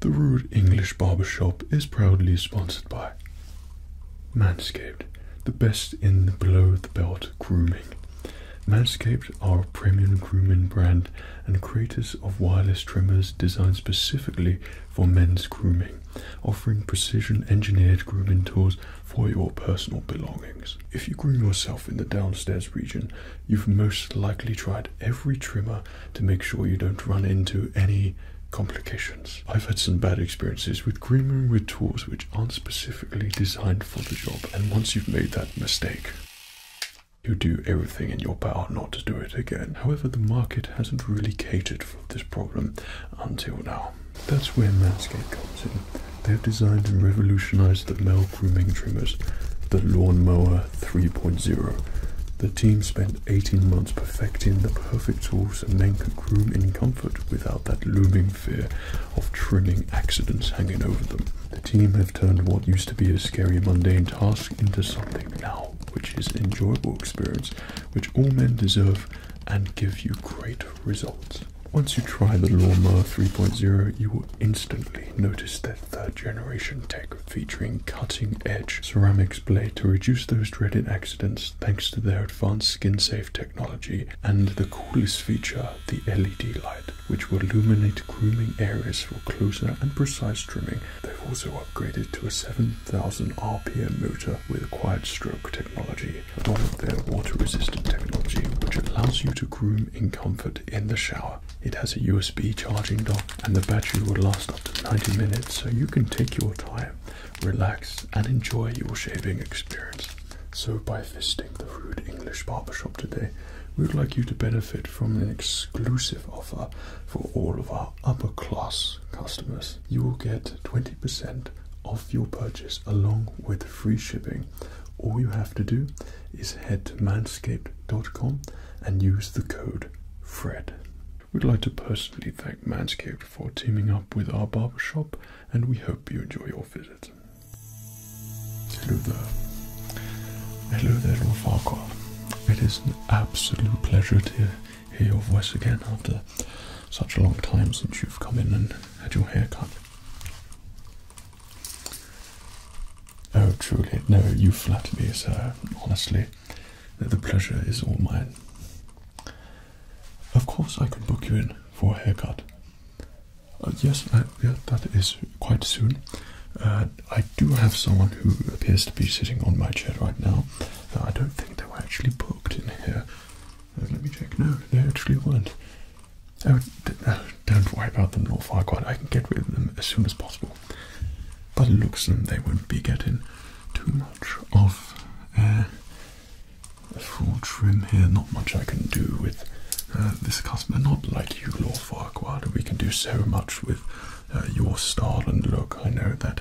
The Rude English barber shop is proudly sponsored by Manscaped, the best in below the belt grooming. Manscaped are a premium grooming brand and creators of wireless trimmers designed specifically for men's grooming, offering precision engineered grooming tools for your personal belongings. If you groom yourself in the downstairs region, you've most likely tried every trimmer to make sure you don't run into any complications. I've had some bad experiences with green room rituals which aren't specifically designed for the job, and once you've made that mistake, you do everything in your power not to do it again. However, the market hasn't really catered for this problem until now. That's where Manscaped comes in. They've designed and revolutionized the male grooming trimmers, the Lawnmower 3.0. The team spent 18 months perfecting the perfect horse, and men could groom in comfort without that looming fear of trimming accidents hanging over them. The team have turned what used to be a scary mundane task into something now which is an enjoyable experience which all men deserve and give you great results. Once you try the Lawnmower 3.0, you will instantly notice that third generation tech featuring cutting edge ceramics blade to reduce those dreaded accidents thanks to their advanced skin safe technology and the coolest feature, the LED light, which will illuminate grooming areas for closer and precise trimming. They've also upgraded to a 7000 RPM motor with quiet stroke technology, along with their water resistant technology, which allows you to groom in comfort in the shower it has a USB charging dock and the battery would last up to 90 minutes so you can take your time, relax and enjoy your shaving experience. So by visiting the Rude English Barbershop today, we would like you to benefit from an exclusive offer for all of our upper class customers. You will get 20% off your purchase along with free shipping. All you have to do is head to manscaped.com and use the code FRED. We'd like to personally thank Manscape for teaming up with our barbershop, and we hope you enjoy your visit. Hello there. Hello there, Lord Farquhar. It is an absolute pleasure to hear your voice again after such a long time since you've come in and had your hair cut. Oh, truly, no, you flatter me, sir, honestly that the pleasure is all mine. Of course, I could book you in for a haircut. Uh, yes, that is quite soon. Uh, I do have someone who appears to be sitting on my chair right now. Uh, I don't think they were actually booked in here. let me check. No, they actually weren't. Oh, don't worry about them, Lord Farquaad. I can get rid of them as soon as possible. But it looks like they will not be getting too much of a full trim here. Not much I can do with uh, this customer. Not like you, Lord Farquhar. We can do so much with uh, your style and look. I know that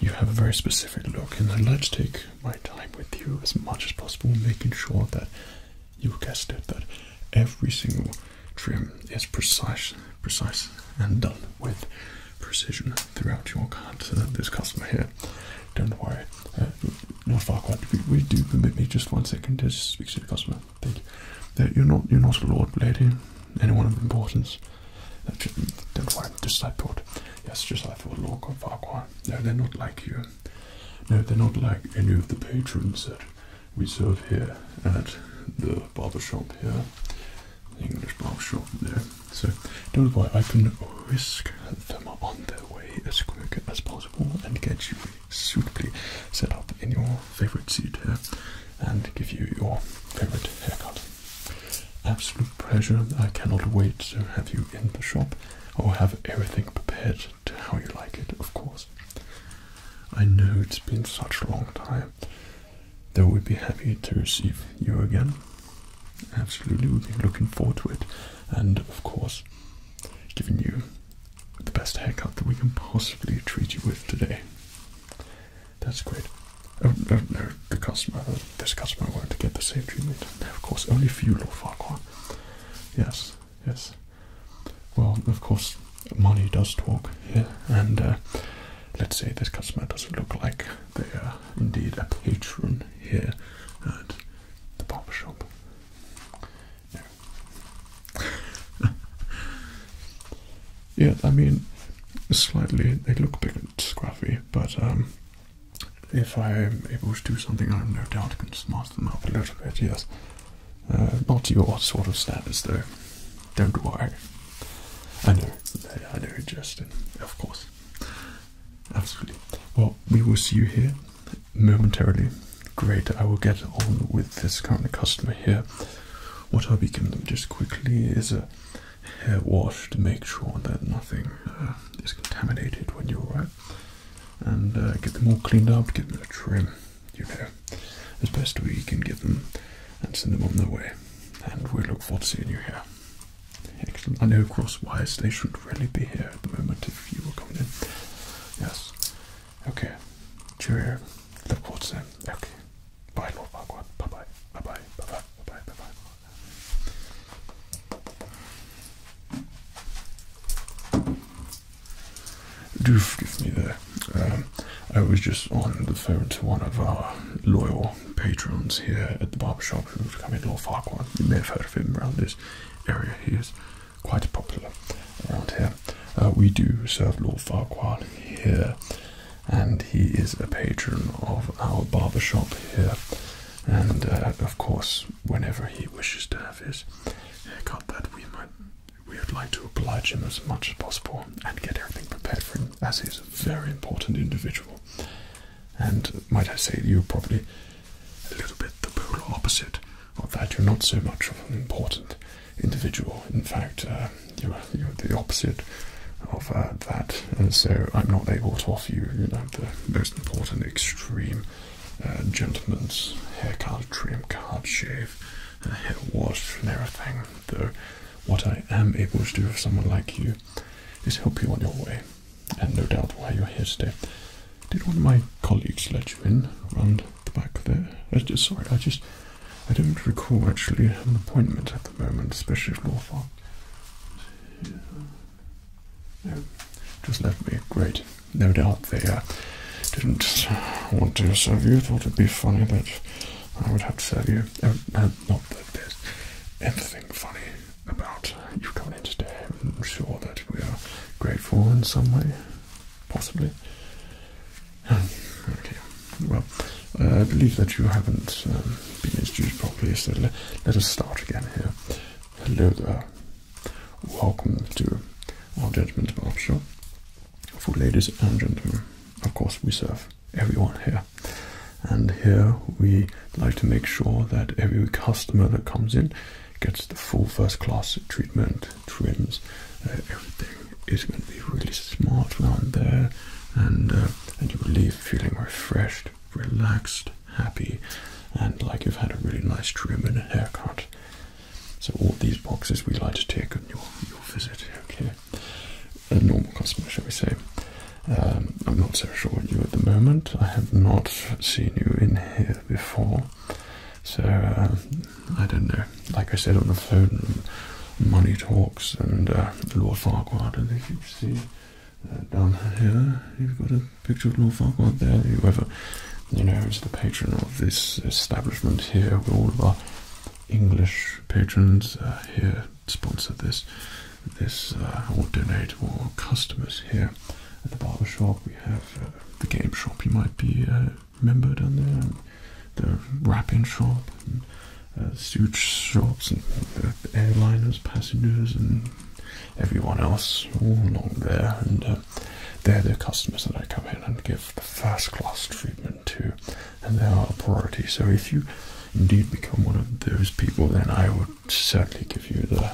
you have a very specific look, and I'd like to take my time with you as much as possible, making sure that you guessed it, that every single trim is precise, precise and done with precision throughout your card. this customer here, don't worry, uh, not far We, do permit me just one second to speak to the customer. Thank you. Uh, you're not, you're not a lord, lady, anyone of importance. Uh, don't worry, just like thought. Yes, just I thought, Lord Farquhar. No, they're not like you. No, they're not like any of the patrons that we serve here at the barber shop here. English barbershop there. So don't worry, I can whisk them on their way as quick as possible and get you suitably set up in your favorite seat here and give you your favorite haircut. Absolute pleasure. I cannot wait to have you in the shop. I will have everything prepared to how you like it, of course. I know it's been such a long time Though we'd be happy to receive you again. Absolutely, we will be looking forward to it, and of course, giving you the best haircut that we can possibly treat you with today. That's great. Oh no, the customer, uh, this customer will to get the same treatment. Of course, only for you, Lord Farquhar. Yes, yes. Well, of course, money does talk here, and uh, let's say this customer doesn't look like they are indeed a patron here at the barber shop. yeah, I mean, slightly they look a bit scruffy, but um, if I am able to do something, I no doubt can smarten them up a little bit. Yes, uh, not your sort of status, though. Don't worry. I know, I know, Justin. Of course, absolutely. Well, we will see you here momentarily. Great. I will get on with this current customer here. What I'll be giving them just quickly is a hair wash to make sure that nothing uh, is contaminated when you arrive, and uh, get them all cleaned up. Give them a trim, you know, as best we can give them, and send them on their way and we look forward to seeing you here. Excellent. I know crosswise they should really be here at the moment if you were coming in. Yes. Okay. Cheerio. Look forward to seeing. Okay. Bye Lord Parkwood. Bye bye. Bye bye. Bye bye. Bye bye. Bye bye. Do forgive me the um, I was just on the phone to one of our loyal patrons here at the barbershop who've come in, Lord Farquhar. You may have heard of him around this area. He is quite popular around here. Uh, we do serve Lord Farquhar here, and he is a patron of our barbershop here. And uh, of course, whenever he wishes to have his haircut, we might we would like to oblige him as much as possible and get everything prepared for him as he's a very important individual. And might I say, you're probably a little bit the polar opposite of that. You're not so much of an important individual. In fact, uh, you're, the opposite of uh, that. And so I'm not able to offer you, you know, the most important extreme uh, gentleman's haircut, trim cut, shave, hair wash, and everything, what I am able to do for someone like you is help you on your way, and no doubt why you're here today. Did one of my colleagues let you in round the back there? I uh, just, sorry, I just I don't recall actually an appointment at the moment, especially if North Park. No, just left me. Great. No doubt they uh, didn't want to serve you. Thought it'd be funny but. I would have to tell you, uh, not that there's anything funny about you coming in today. I'm sure that we are grateful in some way, possibly. Um, okay, well, uh, I believe that you haven't um, been introduced properly, so let us start again here. Hello there. Welcome to our Judgment show For ladies and gentlemen, of course, we serve everyone here. And here we like to make sure that every customer that comes in gets the full first class treatment, trims, uh, everything is going to be really smart around there, and uh, and you leave feeling refreshed, relaxed, happy, and like you've had a really nice trim and a haircut. So all these boxes we like to take on your visit. Okay a normal customer, shall we say. Um, I'm not so sure of you at the moment. I have not seen you in here before, so um, I don't know. Like I said on the phone, money talks, and uh, Lord Farquhar. I think you see uh, down here. You've got a picture of Lord Farquhar there. Whoever you know is the patron of this establishment here, where all of English patrons uh, here sponsor this, this uh, or donate, or customers here at the barber shop. We have uh, the game shop. You might be a member down there, the wrapping shop, suit shops, and airliners, passengers, and everyone else all along there. And they're the customers that I come in and give the first class treatment to and they are a priority. So if you indeed become one of those people, then I would certainly give you the,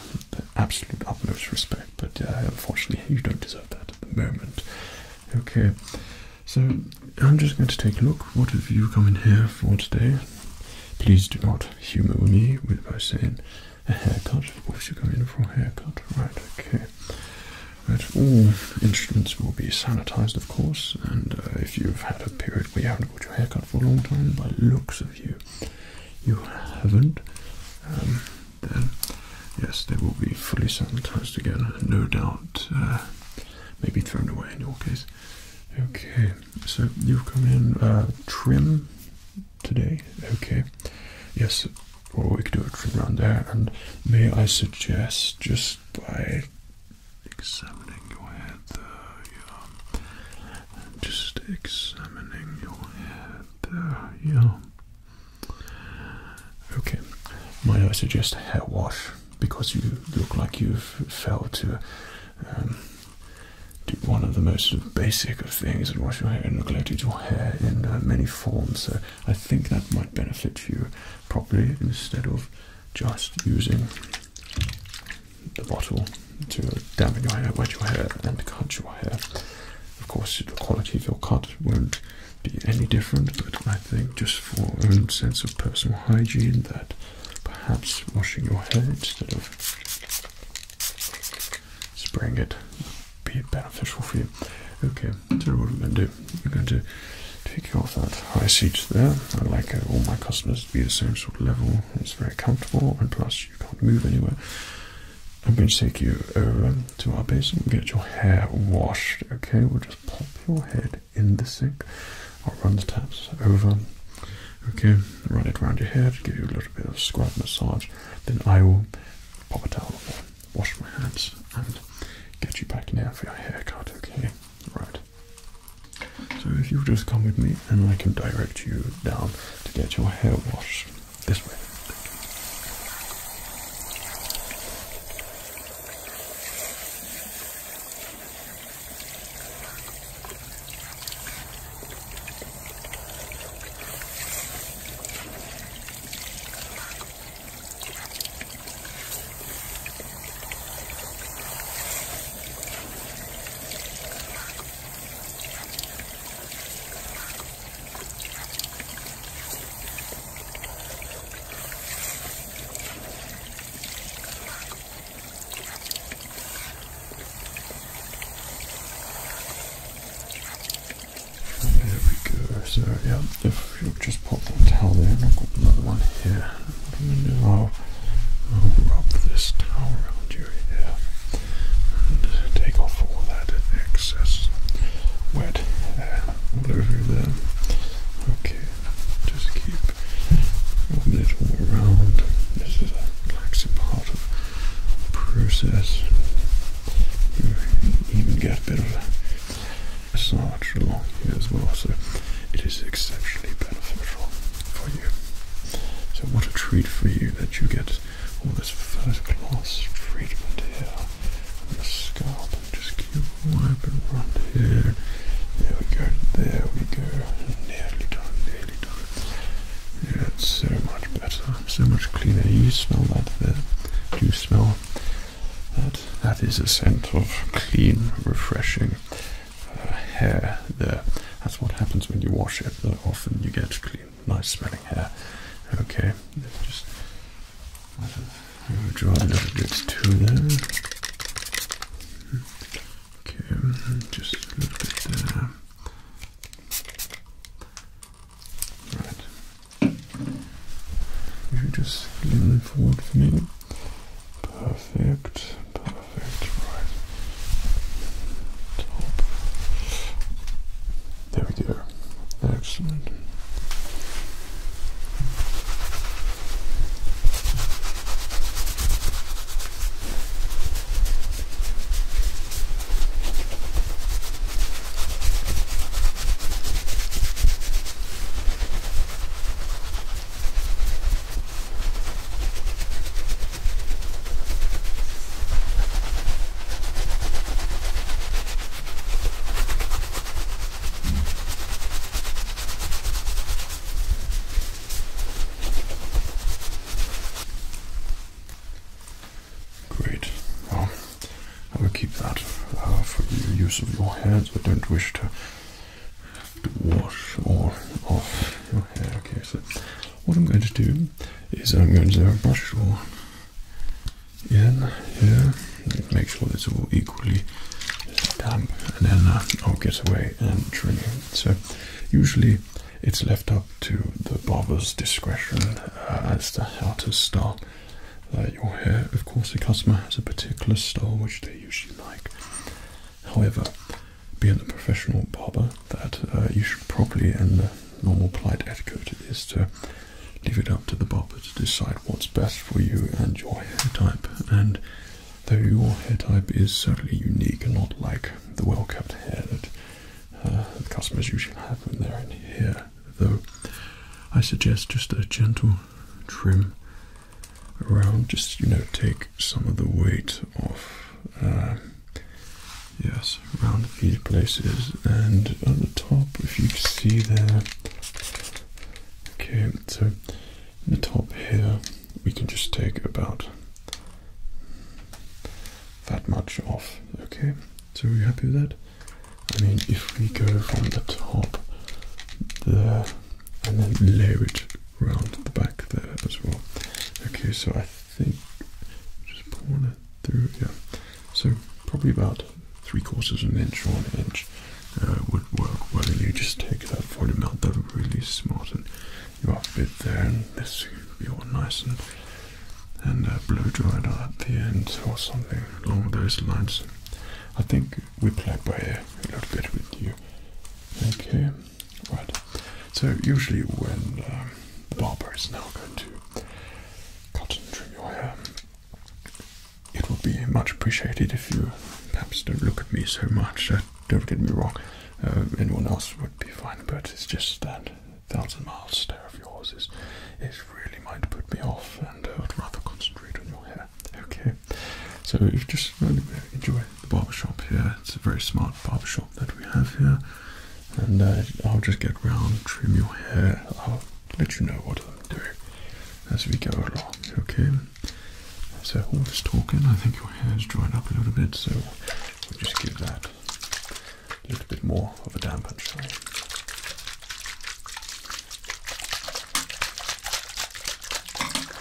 absolute utmost respect. But uh, unfortunately, you don't deserve that at the moment. Okay, so I'm just going to take a look. What have you come in here for today? Please do not humour me with by saying a haircut. Of course, you come in for a haircut, right? Okay. But all instruments will be sanitized, of course, and uh, if you've had a period where you haven't got your hair cut for a long time, by looks of you, you haven't, um, then yes, they will be fully sanitized again, no doubt, uh, maybe thrown away in your case. Okay, so you've come in uh, trim today, okay. Yes, Well, we could do a trim around there, and may I suggest just by examining your head there, yeah. Just examining your head there, yeah. Okay, might I suggest a hair wash because you look like you've failed to do um, one of the most basic of things and wash your hair and neglected your hair in uh, many forms. So I think that might benefit you properly instead of just using the bottle to dampen your hair, wet your hair, and cut your hair. Of course, the quality of your cut won't be any different, but I think just for own sense of personal hygiene, that perhaps washing your hair instead of spraying it be beneficial for you. Okay, so what we're going to do so we're going to take you off that high seat there. I like all my customers to be the same sort of level. It's very comfortable, and plus you can't move anywhere. I'm going to take you over to our basin and get your hair washed. Okay, we'll just pop your head in the sink. I'll run the taps over. Okay, run it around your head, give you a little bit of scrub massage. Then I will pop a towel on, wash my hands, and get you back in there for your haircut. Okay. Right. So if you just come with me and I can direct you down to get your hair washed this way. There we go, so yeah, if you just pop the towel there, and I've got another one here. What I'm gonna do, I'll, wrap this towel around your hair and take off all that excess wet hair over there. Okay, just keep rubbing it around. This is a relaxing part of the process. You even get a bit of massage along here as well. So it is exceptionally beneficial for you. So what a treat for you that you get all this first class treatment here on the scalp just keep wiping around here. There we go, there we go. Nearly done, nearly done. Yeah, it's so much better, so much cleaner. You smell that there. Do you smell that, that is a scent of clean, refreshing uh, hair there. That's what happens when you wash it. often you get clean, nice smelling hair. Okay, just draw a little bit too there. Okay, just a little bit there. Right. You just lean forward for me. Perfect, perfect, right. Top. There we go. Excellent. Great. Well, I will keep that uh, for the use of your hands. I don't wish to to wash all off your hair. Okay, so what I'm going to do is I'm going to brush all in here, make sure it's all equally damp, and then uh, I'll get away and trim it. So usually it's left up to the barber's discretion uh, as to how to style uh, your hair. Of course, the customer has a particular style which they usually However, being a professional barber, that uh, you should probably, and the normal polite etiquette is to leave it up to the barber to decide what's best for you and your hair type. And though your hair type is certainly unique and not like the well cut hair that uh, customers usually have when they're in here, though, I suggest just a gentle trim around, just you know, take some of the weight off. Um, yes, around these places and at the top, if you see there. Okay, so the top here, we can just take about that much off. Okay, so are you happy with that? I mean, if we go from the top there and then layer it round the back there as well. Okay, so I think just pulling it through, yeah. So probably about three quarters of an inch or an inch uh, would work well. You just take that volume out, that'll really and you up a there, and this will be all nice and and uh, blow dried at the end or something along those lines. I think we play by ear a little bit with you. Okay, right. So usually when um, the barber is now going to cut and trim your hair, it would be much appreciated if you perhaps don't look at me so much. Uh, don't get me wrong. Uh, anyone else would be fine, but it's just that thousand mile stare of yours is, is really might put me off, and uh, I'd rather concentrate on your hair. Okay so if you just really enjoy the barber shop here, it's a very smart barber shop that we have here, and uh, I'll just get round, trim your hair, I'll let you know what I'm doing as we go along, okay? So all this talking, I think your hair's dried up a little bit, so we'll just give that a little bit more of a dampener.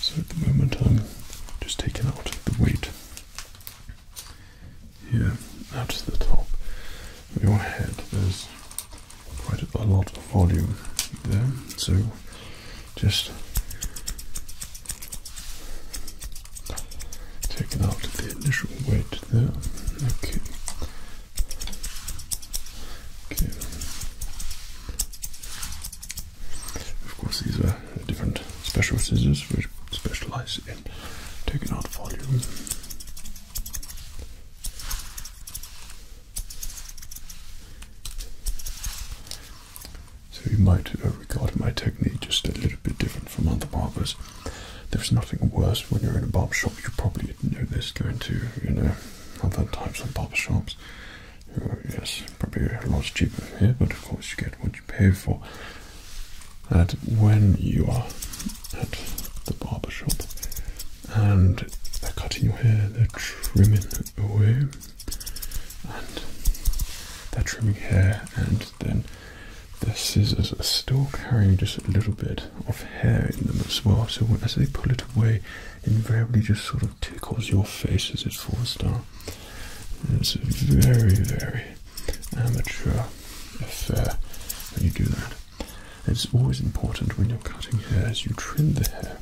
So at the moment I'm just taking out the weight here at the top of your head. There's quite a lot of volume there, so just taking out the initial weight there. Okay. Of course, these are different special scissors which specialize in taking out volume. So you might uh, regard my technique just a little bit different from other barbers. There's nothing worse when you're in a barbershop. You probably know this going to you know other types of barbershops yes, probably a lot cheaper here, but of course you get what you pay for. That when you are at the barber shop and they're cutting your hair, they're trimming away, and they're trimming hair, and then the scissors are still carrying just a little bit of hair in them as well. So as they pull it away, invariably just sort of tickles your face as it falls down. it's a very, very amateur affair when you do that. It's always important when you're cutting hair, as you trim the hair,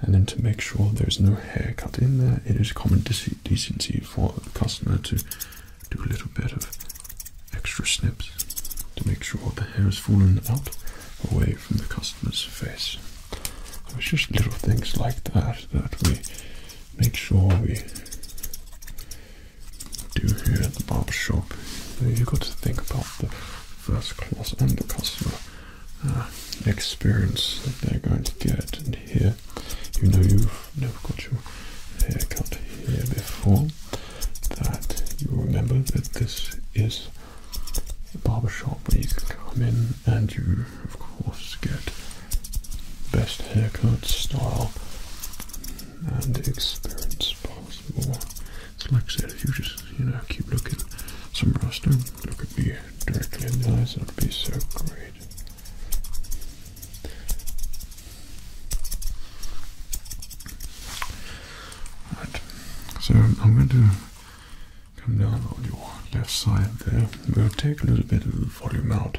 and then to make sure there's no hair cut in there, it is common decency for the customer to do a little bit of extra snips to make sure the hair is fallen out away from the customer's face. it's just little things like that that we make sure we do here at the barber shop. You've got to think about the first class and the customer uh, experience that they're going to get. And here, you know you've never got your haircut here before, that you remember that this is a barber shop where you can come in and you, of course, get best haircut, style, and experience possible. It's like I said, if you just, you know, keep looking somewhere else, do look at me directly in the eyes, it would be so great. Right, so I'm going to come down on your left side there. We'll take a little bit of volume out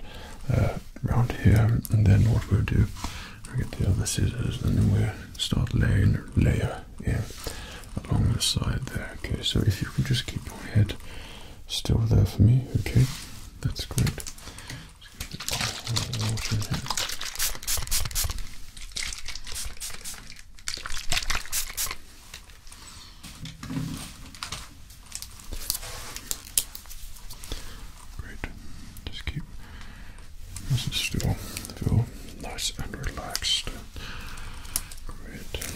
uh, around here, and then what we'll do, we'll get the other scissors, and then we'll start laying layer here along the side there. Okay, so if you can just keep your head still there for me, okay? That's great. Great. Just keep nice and still. Feel nice and relaxed. Great. Thank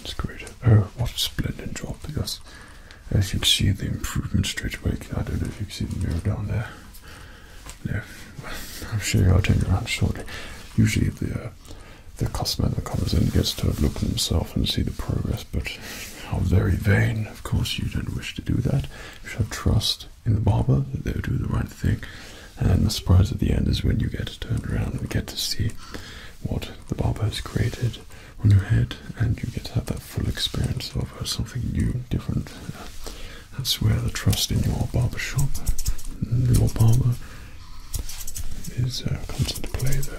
It's great. Oh, what a splendid job, yes. As you can see, the improvement straight away. I don't know if you can see the mirror down there. No, I'm sure I'll turn around shortly. Usually the uh, the customer that comes in gets to look at himself and see the progress, but how very vain. Of course, you don't wish to do that. You should have trust in the barber they'll do the right thing. And the surprise at the end is when you get turned around and get to see what the barber has created on your head, and you get to have that full experience of uh, something new, different. that's where the trust in your barber shop, your barber, is uh, comes into play there.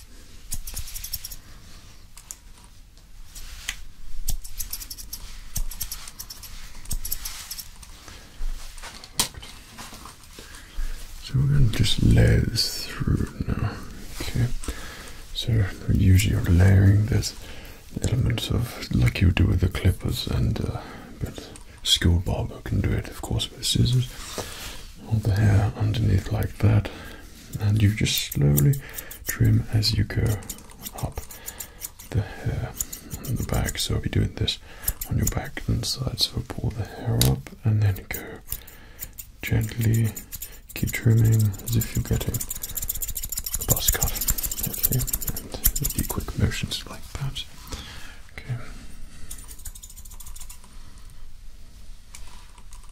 So we're going to just lay this through now. Okay. So usually you're layering this elements of like you do with the clippers and uh, but skilled barber can do it of course with scissors all the hair underneath like that and you just slowly trim as you go up the hair on the back so I'll be doing this on your back and sides. so pull the hair up and then go gently keep trimming as if you're getting a buzz cut okay and do quick motions like that okay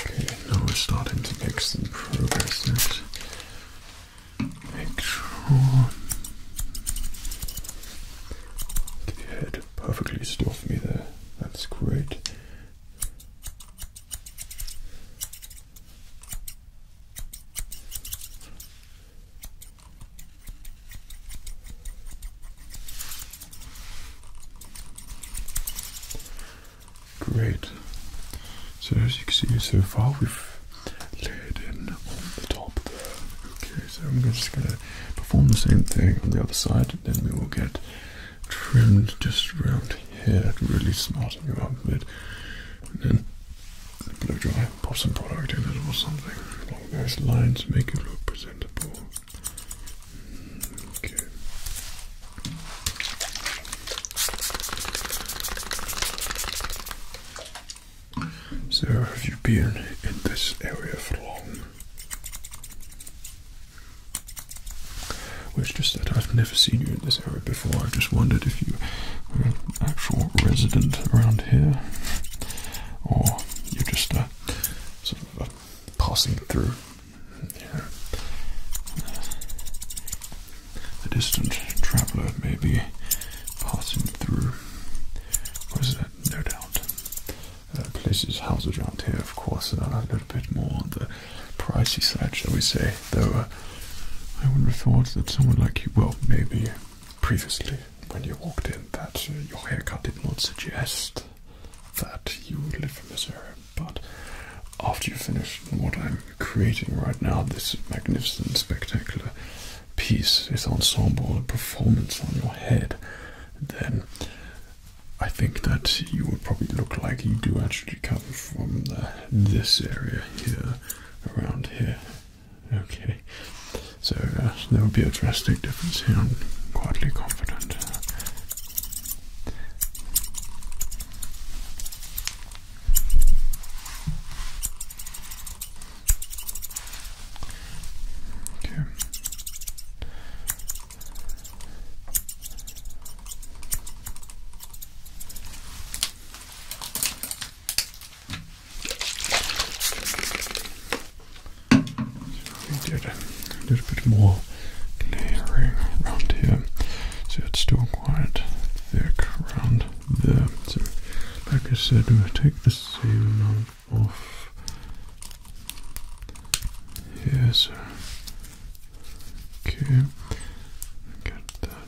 Okay, now we're starting to make some progress. let make sure your head perfectly still me there. That's great. Great. So as you can see so far we've laid in on the top Okay, so I'm just gonna perform the same thing on the other side and then we will get trimmed just around yeah, to really smarten you up a bit. And then the blow dry, pop some product in it or something those lines, make it look presentable. Mm, okay. So, have you been in this area for long? Well, it's just that I've never seen you in this area before. I just wondered if you were an actual resident around here, or you're just uh, sort of uh, passing through. Yeah. A distant traveller may be passing through. Was that? No doubt. Uh, places, houses around here, of course, are a little bit more on the pricey side, shall we say? Though uh, I would have thought that someone like you, well, maybe previously when you walked in, that uh, your haircut did not suggest that you would live in this area. But after you finish what I'm creating right now, this magnificent, spectacular piece, this ensemble, a performance on your head, then I think that you would probably look like you do actually come from the this area here, around here. Okay, so uh, there will be a drastic difference here. I'm quietly confident. Okay. We did a little bit more layering around here, so it's still quite thick around there. So, like I said, we'll take the same amount off here. So, okay, get that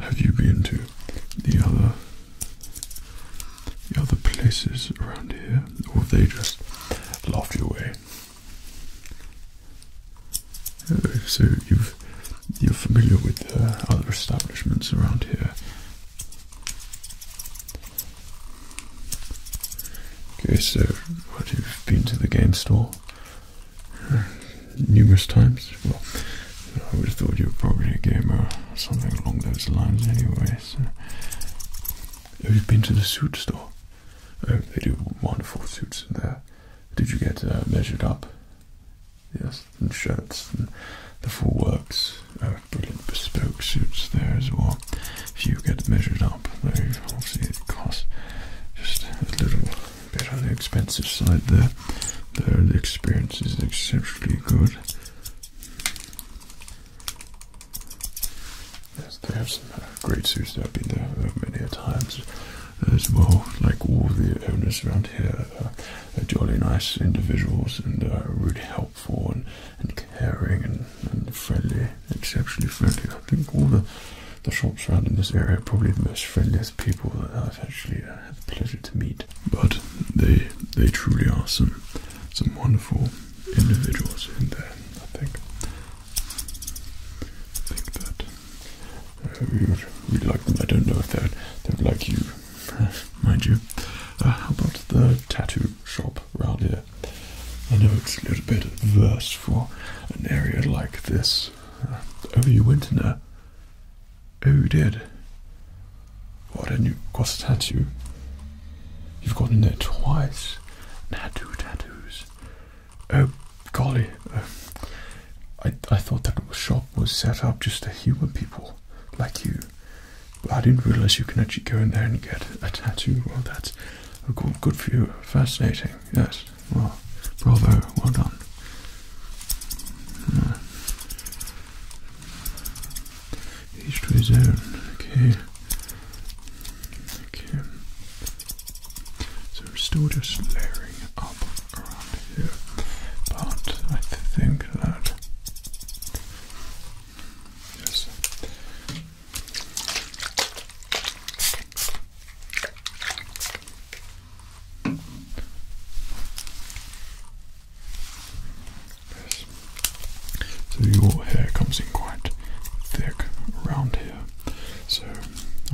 Have you been to the other the other places around here, or have they just laughed you away? Uh, so you've you're familiar with other establishments around here. Okay, so have you been to the game store? numerous times. Well, I always thought you were probably a gamer something along those lines, anyway. have you been to the suit store. Oh, they do wonderful suits there. Did you get uh, measured up? Yes, and shirts and the full works. Oh, brilliant bespoke suits there as well. If you get measured up, though, obviously it costs just a little bit on the expensive side there. Though the experience is exceptionally good. Yes, they have some uh, great suits that have been there uh, many a times as well. Like all the owners around here uh, are jolly nice individuals and really helpful and, and caring and, and friendly, exceptionally friendly. I think all the the shops around in this area are probably the most friendliest people that I've actually uh, had the pleasure to meet. But they they truly are some some wonderful individuals in there. I think I think that uh, we like them. I don't know if they they would like you, mind you. Uh, how about the tattoo shop round here? I know it's a little bit adverse for an area like this. Uh, oh, you went in there? Uh, oh, you did? What didn't you got a tattoo? You've got in there twice and tattoos. Oh, golly. Uh, I, I thought that shop was set up just to humour people like you. I didn't realise you can actually go in there and get a tattoo. Well, that's good, good for you. Fascinating, yes. Well, bravo, well done. No. Each to okay. Okay. So we're still just layering up around here, but I think that. Yes, so your hair comes in quite thick around here. So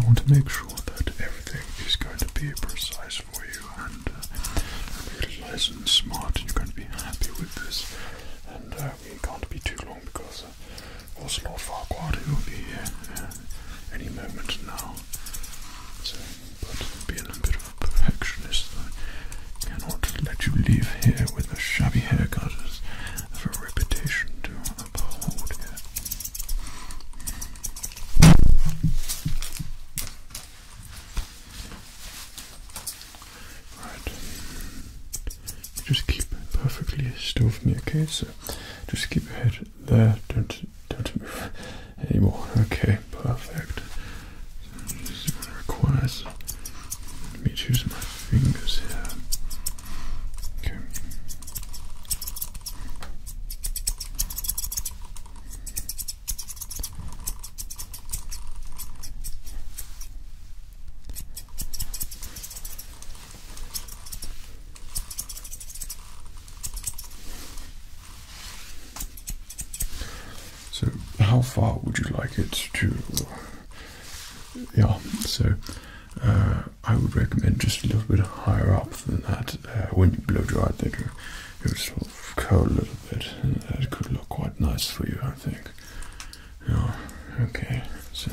I want to make sure that everything is going to be precise for you and uh, really nice and smart. You're going to be happy with this, and uh, we can't be too long because was, was Lord Farquaad who will be here uh, any moment now. but being a bit of a perfectionist, I cannot let you leave here with a shabby haircut as a reputation to uphold Right. Just keep perfectly still for me, okay? So just keep your head there. Don't don't move anymore. Okay, perfect. this is requires me to use my fingers here. Okay. So, how far would you like it to? Yeah, so uh, I would recommend just a little bit higher up than that. Uh, when you blow dry, I think it would sort of curl a little bit, and that could look quite nice for you, I think. Yeah, okay, so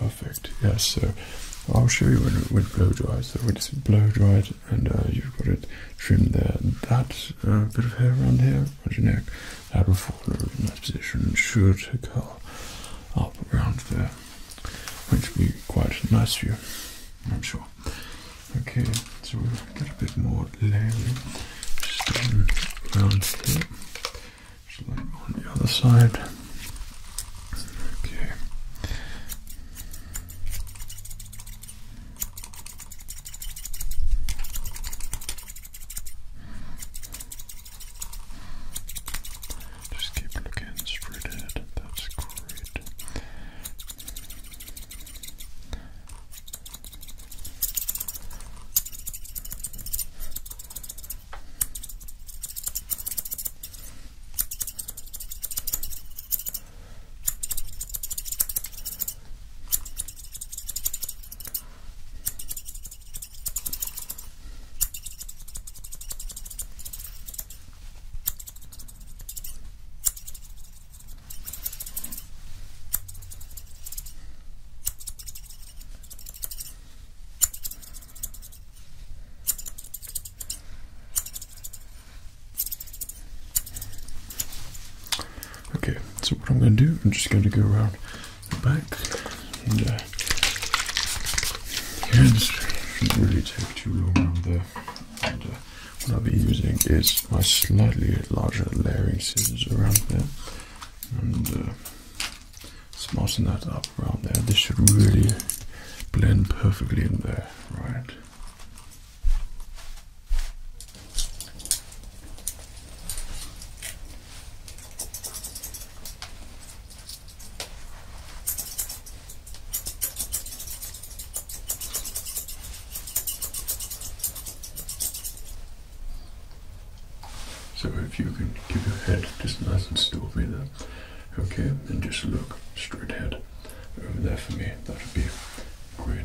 Perfect. Yes. So I'll show you when it when blow dries. So when it's blow dried and uh, you've got it trim there, that uh, bit of hair around here around your neck, out of fall over in that position and should curl up around there there, which will be quite a nice view, I'm sure. Okay, so we'll get a bit more layering starting around here, just like on the other side. Okay. Just keep looking straight ahead. That's great. Good. Okay, so what I'm going to do, I'm just going to go around the back and really take too around there. And uh, what I'll be using is my slightly larger layering scissors around there. And uh, smarten that up around there. This should really blend perfectly in there, right? So if you can keep your head just nice and still for me there, okay, and just look straight ahead over there for me, that would be great.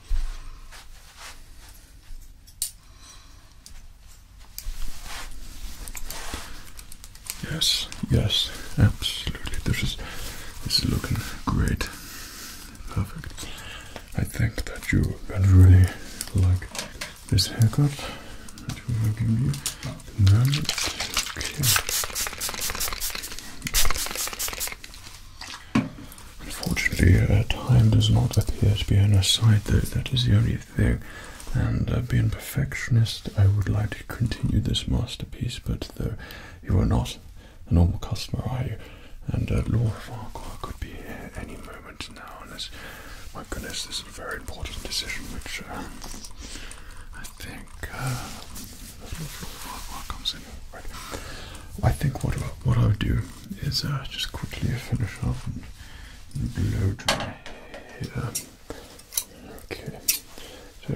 Yes, yes, absolutely. This is this is looking great. Perfect. I think that you would really like this haircut that we will give you. And Unfortunately, uh, time does not appear to be on our side, though. That is the only thing. And uh, being perfectionist, I would like to continue this masterpiece, but though you are not a normal customer, are you? And uh, Laura Farquhar could be here any moment now, and this, my goodness, this is a very important decision, which um, I think uh, Laura Farquhar comes Right. I think what what I'll do is uh, just quickly finish off and, blow dry here. Okay. So.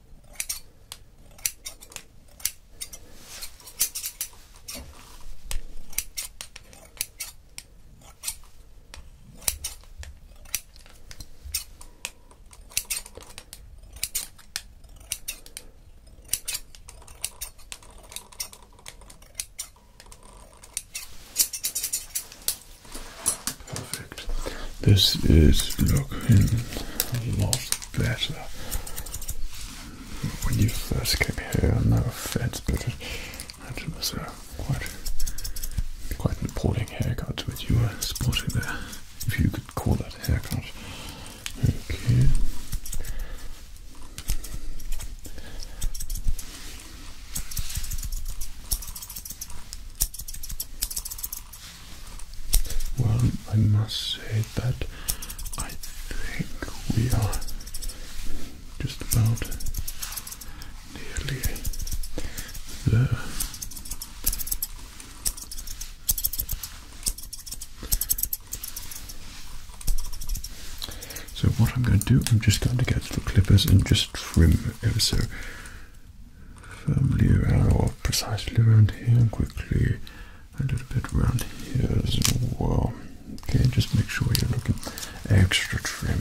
Perfect. This is looking lost better when you first came here. No offense, but that was uh, quite quite an appalling haircut which you were sporting there, if you could call that a haircut. Okay. Well, I must say that I think we are just about nearly there. So what I'm going to do, I'm just going to get the clippers and just trim ever so firmly around or precisely around here and quickly a little bit around here as well. Okay, just make sure you're looking extra trim.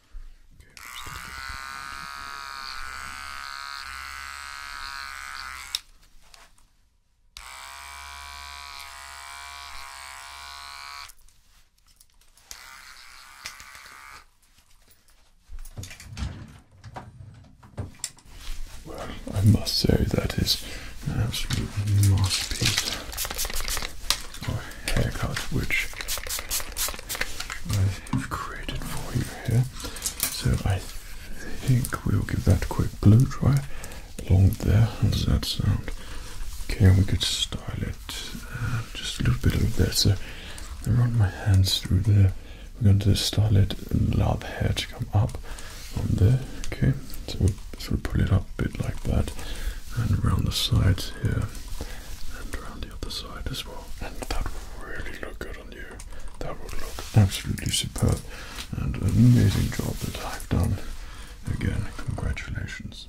Okay, well, I must say that is an absolute masterpiece. I haircut which I've created for you here. So I think we'll give that a quick blow dry along there. How does that sound? Okay, we could style it uh, just a little bit of there. So run my hands through there. We're going to style it and allow the hair to come up on there. Okay, so we'll pull it up a bit like that and around the sides here and around the other side as and that will really look good on you. That will look absolutely superb, and an amazing job that I've done. Again, congratulations.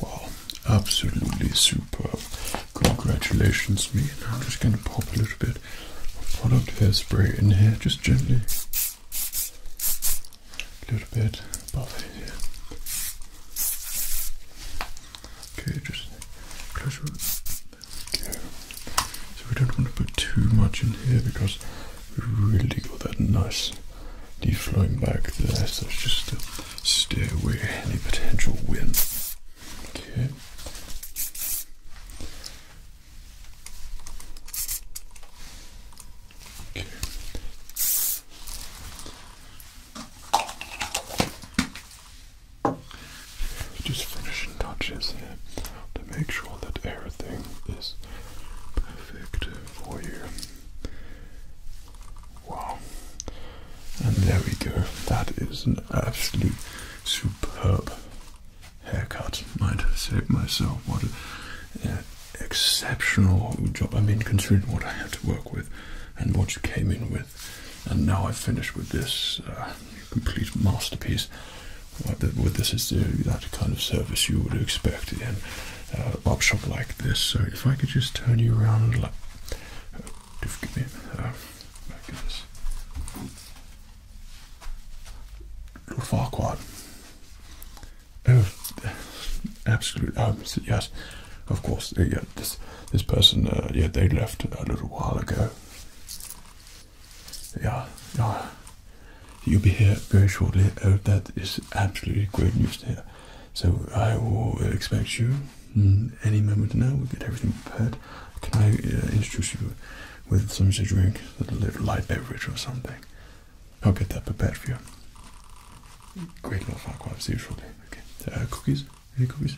Wow, absolutely superb. Congratulations, mate. I'm just going to pop a little bit product hairspray in here, just gently. A little bit above here. Okay, just close it. there we go. So we don't want to put too much in here because we really got that nice deep flowing back there, so just stay away any potential wind. Okay. Just finishing touches here to make sure that everything is perfect for you. Wow. And there we go. That is an absolute superb haircut, might say myself. What an exceptional job. I mean, considering what I had to work with and what you came in with, and now I've finished with this uh, complete masterpiece. What this is that kind of service you would expect in uh, a op like this. So if I could just turn you around, like, uh, give me uh, back this. Lord Oh, absolute. Oh, yes, of course. Uh, yeah, this this person. Uh, yeah, they left a little while ago. Yeah, yeah. You'll be here very shortly. Oh, that is absolutely great news to hear. So I will expect you hmm, any moment now. We'll get everything prepared. Can I uh, introduce you with some sort of drink, a little light beverage or something. I'll get that prepared for you. Great little far as usually. Okay. Uh, cookies? Any cookies?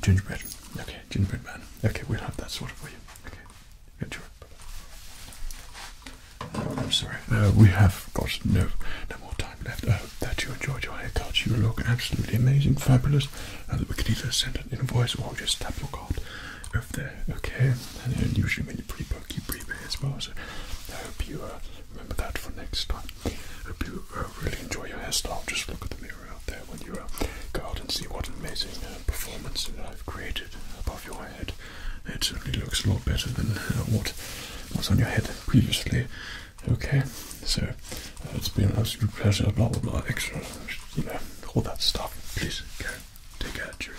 Gingerbread. Okay, gingerbread man. Okay, we'll have that sorted for you. Okay. Get uh, I'm sorry. Uh, we have got no no more time left. I hope that you enjoyed your haircut. You look absolutely amazing, fabulous. And that we can either send an invoice or just tap your card over there, okay? And usually when you pre-book, you pre-pay as well, so I hope you uh, remember that for next time. I hope you uh, really enjoy your hairstyle. Just look at the mirror out there when you uh, go out and see what amazing performance I've created above your head. It certainly looks a lot better than what was on your head previously. Okay, so it's been an absolute pleasure, blah blah blah, extra, you know, all that stuff. Please carry Take out Drew.